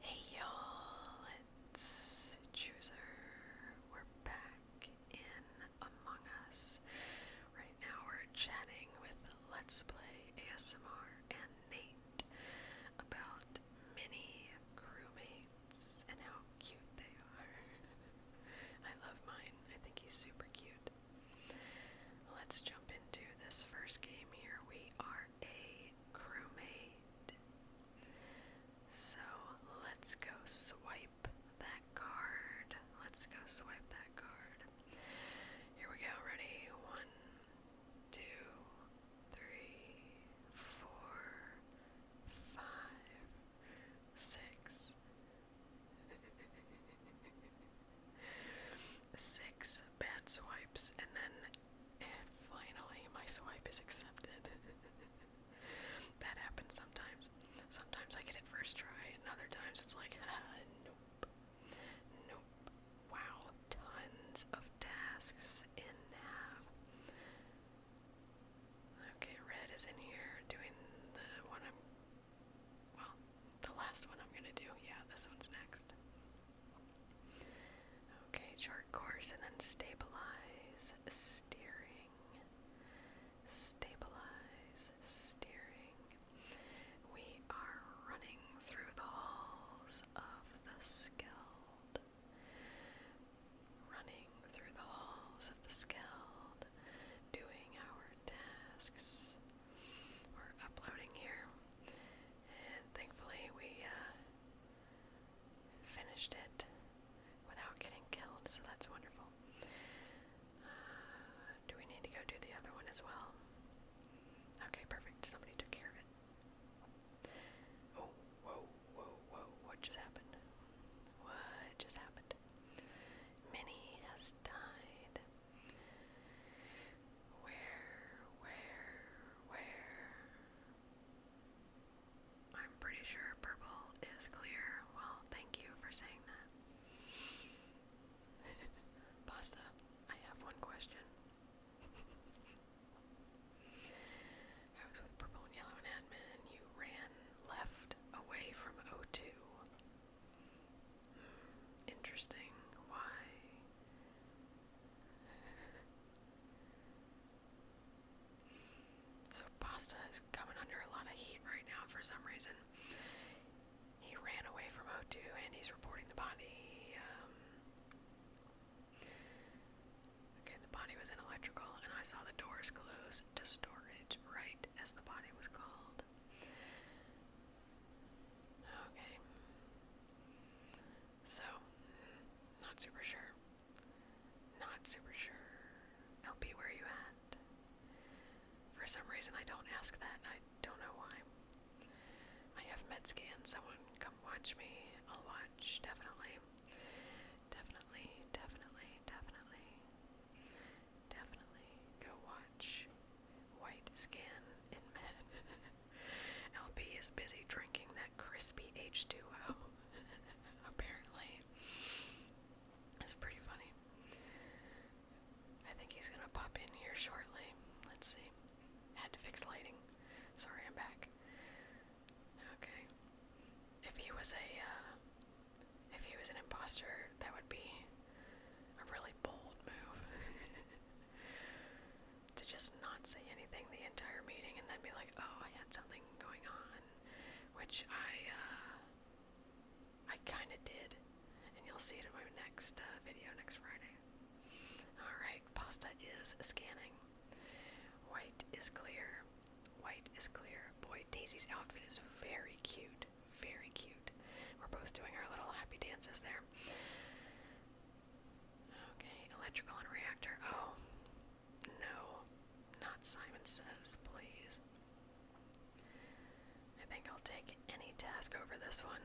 Hey y'all, it's Chooser. We're back in Among Us. Right now we're chatting with Let's Play ASMR and Nate about mini crewmates and how cute they are. I love mine, I think he's super cute. Let's jump into this first game here. We are a crewmate. So let's go swipe that card. Let's go swipe that card. Here we go. Ready? One, two, three, four, five, six. six bad swipes, and then finally my swipe is accepted. that happens sometimes. Sometimes I get it first try, and other times it's like, nope. Nope. Wow, tons of tasks in nav. Okay, red is in here doing the one Well, the last one I'm gonna do. Yeah, this one's next. Okay, chart course and then stabilize, steering, stabilize, steering. We are running through the halls of the skilled. Running through the halls of the skilled, doing our tasks. We're uploading here and thankfully we uh, finished it without getting killed, so that's wonderful. Uh, do we need to go do the other one as well? Okay, perfect. Somebody took care of it. Oh, whoa, whoa, whoa, what just happened? What just happened? Minnie has died. Where, where, where? I'm pretty sure purple is clear. Well, thank you for saying that. Pasta, I have one question. I was with purple and yellow and admin. You ran left away from 0 Interesting. Why? so Pasta is coming under a lot of heat right now for some reason. He ran away from O2 and he's reporting the body. Um, okay, the body was in electrical and I saw the doors close to storage right as the body was called. Okay. So, not super sure. Not super sure. LP, where are you at? For some reason, I don't ask that. I don't know why. I have med scan. Someone come watch me. I'll watch, definitely. Definitely, definitely, definitely. Definitely go watch white skin in men. LB is busy drinking that crispy H2O, apparently. It's pretty funny. I think he's gonna pop in here shortly. Let's see. Had to fix lighting. Sorry, I'm back. Okay. If he was a, uh, if he was an imposter, that would be a really bold move to just not say anything the entire meeting and then be like, oh, I had something going on, which I, uh, I kind of did, and you'll see it in my next uh, video next Friday. Alright, pasta is scanning. White is clear. White is clear. Boy, Daisy's outfit is very cute very cute. We're both doing our little happy dances there. Okay, electrical and reactor. Oh, no, not Simon Says, please. I think I'll take any task over this one.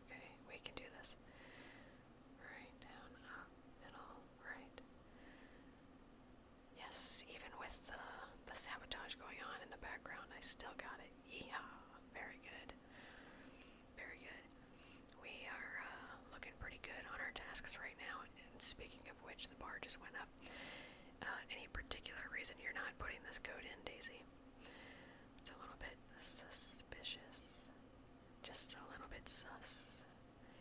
Okay, we can do this. Right down, up, middle, right. Yes, even with the, the sabotage going on in the background, I still got it. Yeehaw! Very good. Very good. We are uh, looking pretty good on our tasks right now. And speaking of which, the bar just went up. Uh, any particular reason you're not putting this code in, Daisy? It's a little bit suspicious. Just a little bit sus.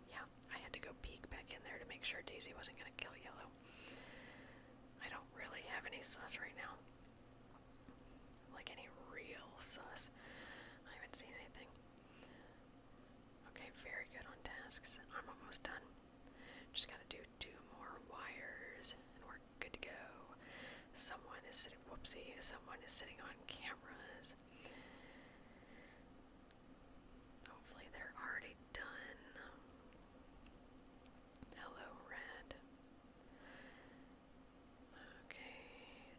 Yeah, I had to go peek back in there to make sure Daisy wasn't going to kill Yellow. I don't really have any sus right now. Like any real sus. I haven't seen anything. Okay, very good on tasks. I'm almost done. Just gotta do two more wires and we're good to go. Someone is sitting, whoopsie, someone is sitting on cameras. Hopefully, they're already done. Hello, red. Okay,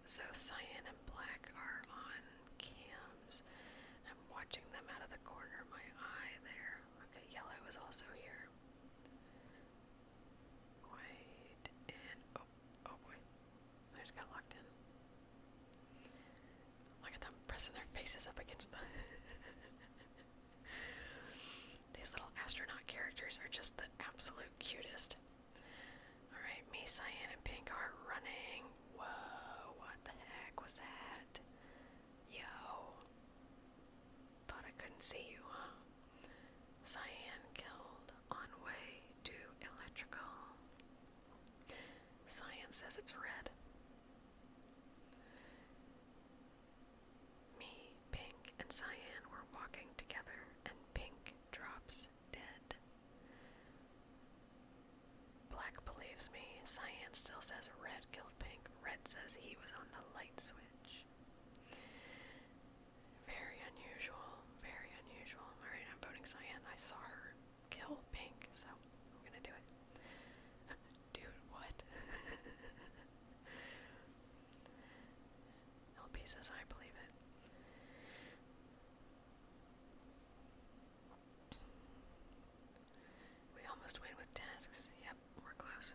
so cyan and black are on cams. I'm watching them out of the corner of my eye there. Okay, yellow is also here. White and oh, oh boy. I just got locked in. Look at them pressing their faces up against the. These little astronaut characters are just the absolute cutest. Alright, me, Cyan, and Pink are running. Whoa, what the heck was that? Yo. Thought I couldn't see you, huh? Cyan killed on way to electrical. Cyan says it's red. Me, Pink, and Cyan were walking together, and Pink drops dead. Black believes me. Cyan still says Red killed Pink. Red says he was on the light switch. Very unusual. Very unusual. Alright, I'm voting Cyan. I saw her kill pink, so we're gonna do it. Dude, what? LP says, I believe it. We almost win with tasks. Yep, we're close.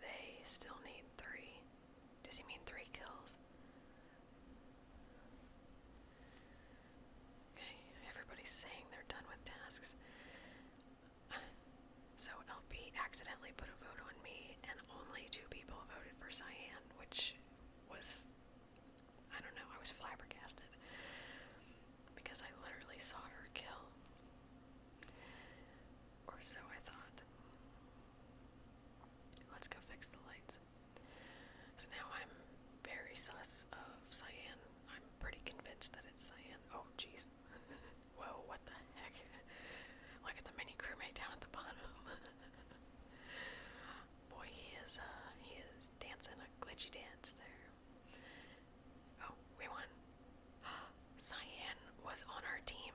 They still need three. Does he mean three kills? Okay, everybody's saying they're done with tasks. So LP accidentally put a vote on me, and only two people voted for Cyan, which was, I don't know, I was flabbergasted because I literally saw her kill. Or so I thought. Let's go fix the lights. So now I'm very sus of cyan. I'm pretty convinced that it's cyan. Oh, jeez. Whoa, what the heck? Look at the mini crewmate down at the bottom. Boy, he is, uh, he is dancing a glitchy dance there. Oh, we won. Cyan was on our team.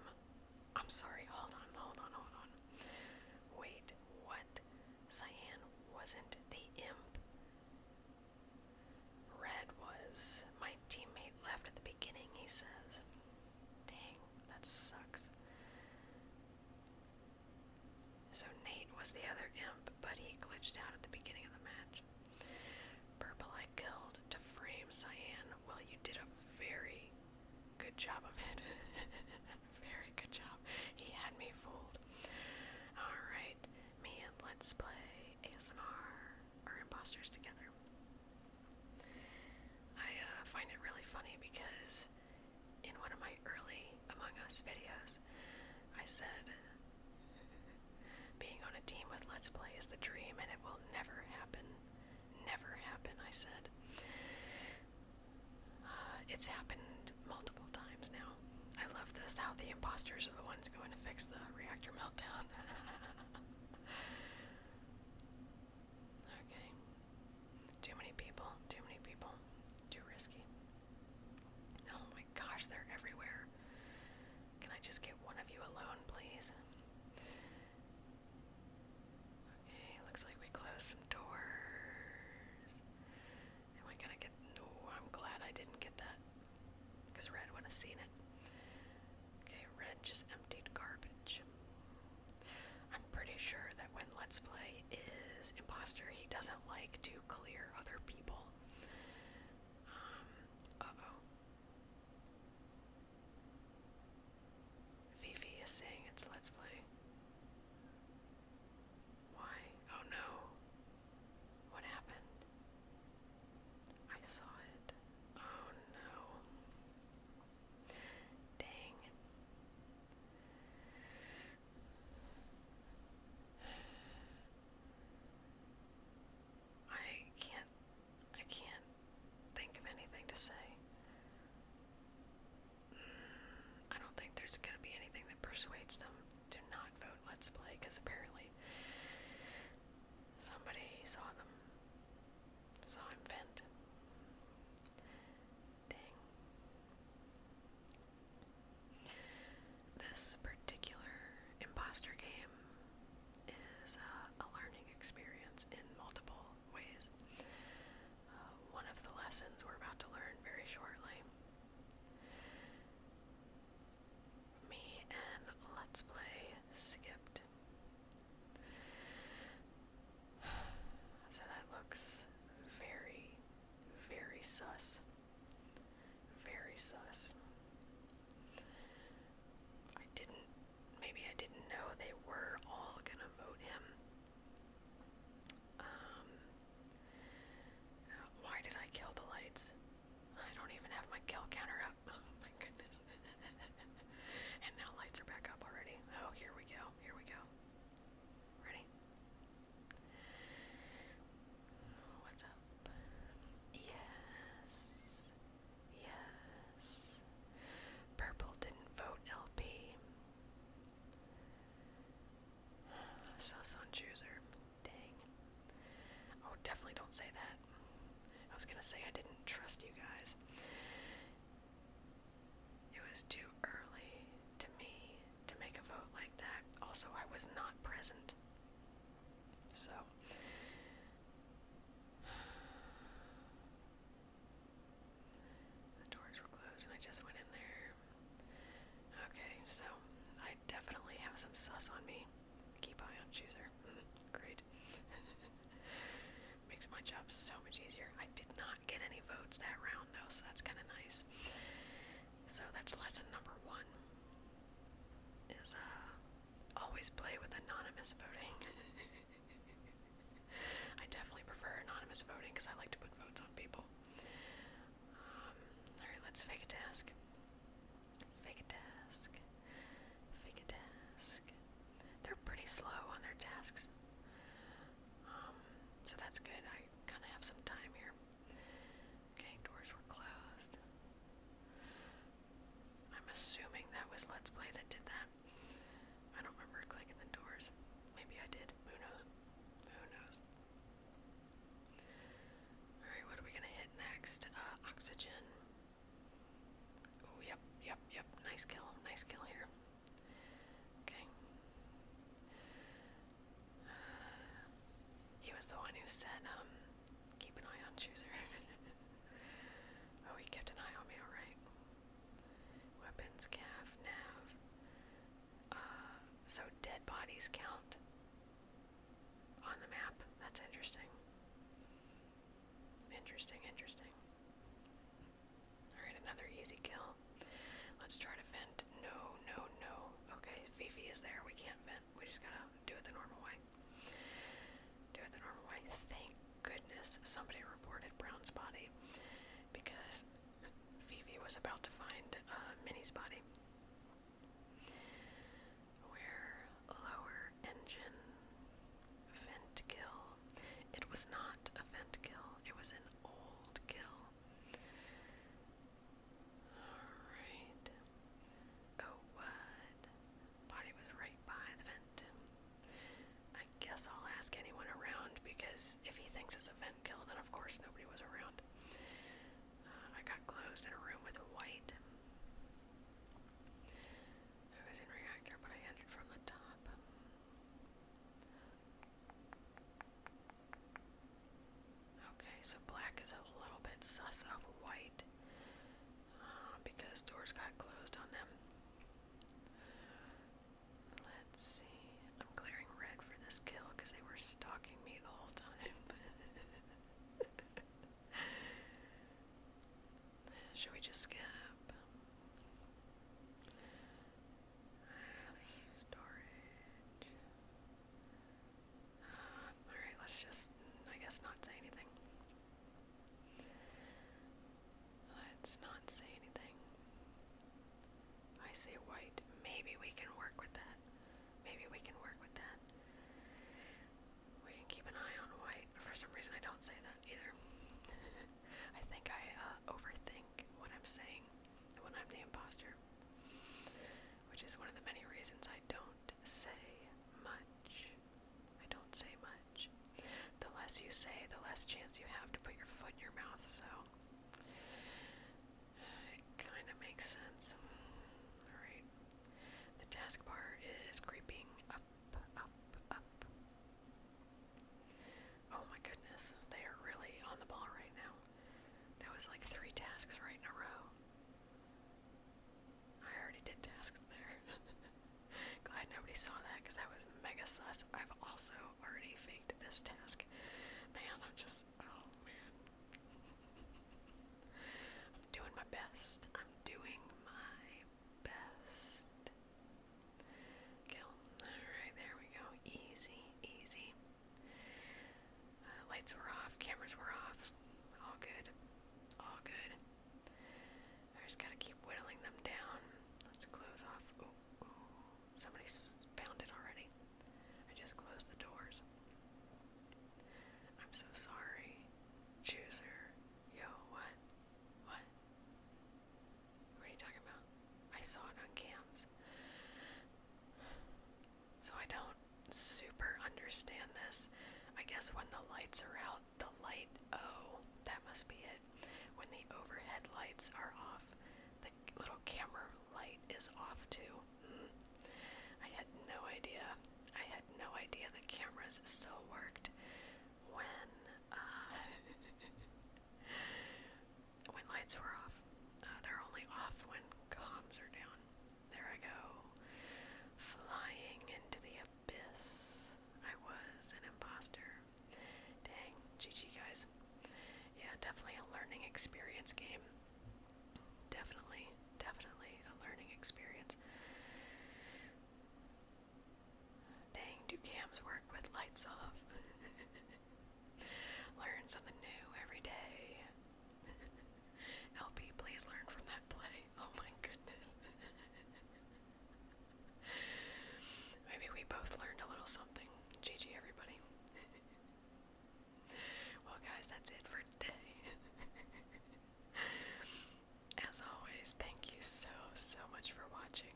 I'm sorry, hold on, hold on, hold on. Wait, what? Cyan wasn't the imp. Red was. My teammate left at the beginning, he says. Dang, that sucks. So Nate was the other imp, but he glitched out at the beginning of the match. Purple I killed to frame Cyan. Well, you did a very good job of it. Very good job. He had me fooled. Alright, me and Let's Play ASMR are imposters together. I uh, find it really funny because in one of my early Among Us videos, I said being on a team with Let's Play is the dream and it will never happen. Never happen, I said. Uh, it's happened multiple times now. I love this, how the imposters are the ones going to fix the reactor meltdown. okay. Too many people, too many people, too risky. Oh my gosh, they're everywhere. Can I just get one of you alone, please? Okay, looks like we closed some doors. And we gotta get. No, I'm glad I didn't get that. Because Red would have seen it. Okay, Red just emptied garbage. I'm pretty sure that when Let's Play is imposter, he doesn't like to clear other people. Um, oh. Fifi is saying it's Let's Play. Why? Oh no. What happened? I saw it. Oh no. Dang. I can't I can't think of anything to say. I don't think there's going to be anything that persuades them to not vote Let's Play because apparently somebody saw them, saw him vent. Dang. This particular imposter game is uh, a learning experience in multiple ways one of the lessons we're about to learn very shortly. Me and Let's Play skipped. So that looks very, very sus. Very sus. I didn't, maybe I didn't know they were all gonna vote him. Um, why did I kill the lights? I don't even have my kill counter up. Oh my goodness. and now lights are back up already. Oh, here we go. Here we go. Ready? What's up? Yes. Yes. Purple didn't vote LP. So son chooser. Dang. Oh, definitely don't say that. I was gonna say I didn't trust you guys. It was too early to me to make a vote like that. Also, I was not present. So The doors were closed and I just went in there. Okay, so I definitely have some sus on me. Keep eye on chooser. Great. Makes my job so much easier. I did not get any votes that round though, so that's kinda nice. So that's lesson number one. Is uh always play with anonymous voting. I definitely prefer anonymous voting because I like to put votes on people. Um, alright, let's fake a task. Fake a task. Fake a task. They're pretty slow on their tasks. Um, so that's good. I kind of have some time here. Okay, doors were closed. I'm assuming that was Let's Play that did that. I don't remember clicking the doors. Maybe I did. Who knows? Who knows? Alright, what are we gonna hit next? Uh, oxygen. yep, yep, yep. Nice kill. Nice kill here. Okay. Uh, he was the one who said, um, keep an eye on Chooser. oh, he kept an eye on me, alright. Weapons, calf, nav. Uh, so dead bodies count on the map. That's interesting. Interesting, interesting. Alright, another easy kill. Let's try to vent. No, no, no. Okay, Fifi is there. We can't vent. We are just going to do it the normal way. Do it the normal way goodness somebody reported Brown's body because Phoebe was about to find uh, Minnie's body. Where lower engine vent kill. It was not a vent kill, it was an old kill. Alright. Oh, what? Body was right by the vent. I guess I'll ask anyone around because if he thinks it's a vent kill, then of course nobody was around. Uh, I got closed in a room with white. I was in reactor, but I entered from the top. Okay, so black is a little bit sus of white because doors got closed on them. Let's see. I'm clearing red for this kill because they were stalking me the whole time. Should we just skip? storage. Alright, let's just, I guess, not say anything. Let's not say anything. I say white. Maybe we can work with that. Maybe we can work with that. We can keep an eye on white. For some reason, I don't say that either. I think I uh, overthink what I'm saying when I'm the imposter, which is one of the many reasons I don't say much. I don't say much. The less you say, the less chance you have to put your foot in your mouth, so it kind of makes sense. Alright. The task is creeping up, up, up. Oh my goodness, they are really on the ball right now. That was like three tasks right in a row. I already did tasks there. Glad nobody saw that because that was mega sus. I've also already faked this task. Man, I'm just, oh man. I'm doing my best. I'm doing my best. Kill. Alright, there we go. Easy, easy. Uh, lights were off, cameras were off. All good. All good. I just gotta keep whittling them down. Let's close off. Ooh, ooh. Somebody found it already. I just closed the doors. I'm so sorry. Chooser. Yo, what? What? What are you talking about? I saw it on cams. So I don't super understand this. I guess when the lights are out, the light. Oh, that must be it. When the overhead lights are off, the little camera light is off too. Hmm. I had no idea. I had no idea the cameras still worked when uh, when lights were off. Uh, they're only off when comms are down. There I go, flying into the abyss. I was an imposter. Dang, GG guys. Yeah, definitely a learning experience game. Definitely, definitely a learning experience. Dang, do cams work with lights off? Learn something new every day. LP, please learn from that play. Oh my goodness. Maybe we both learned a little something. GG, everybody. well, guys, that's it for today. As always, thank you so, so much for watching.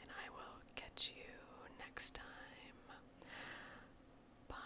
And I will catch you next time. Bye.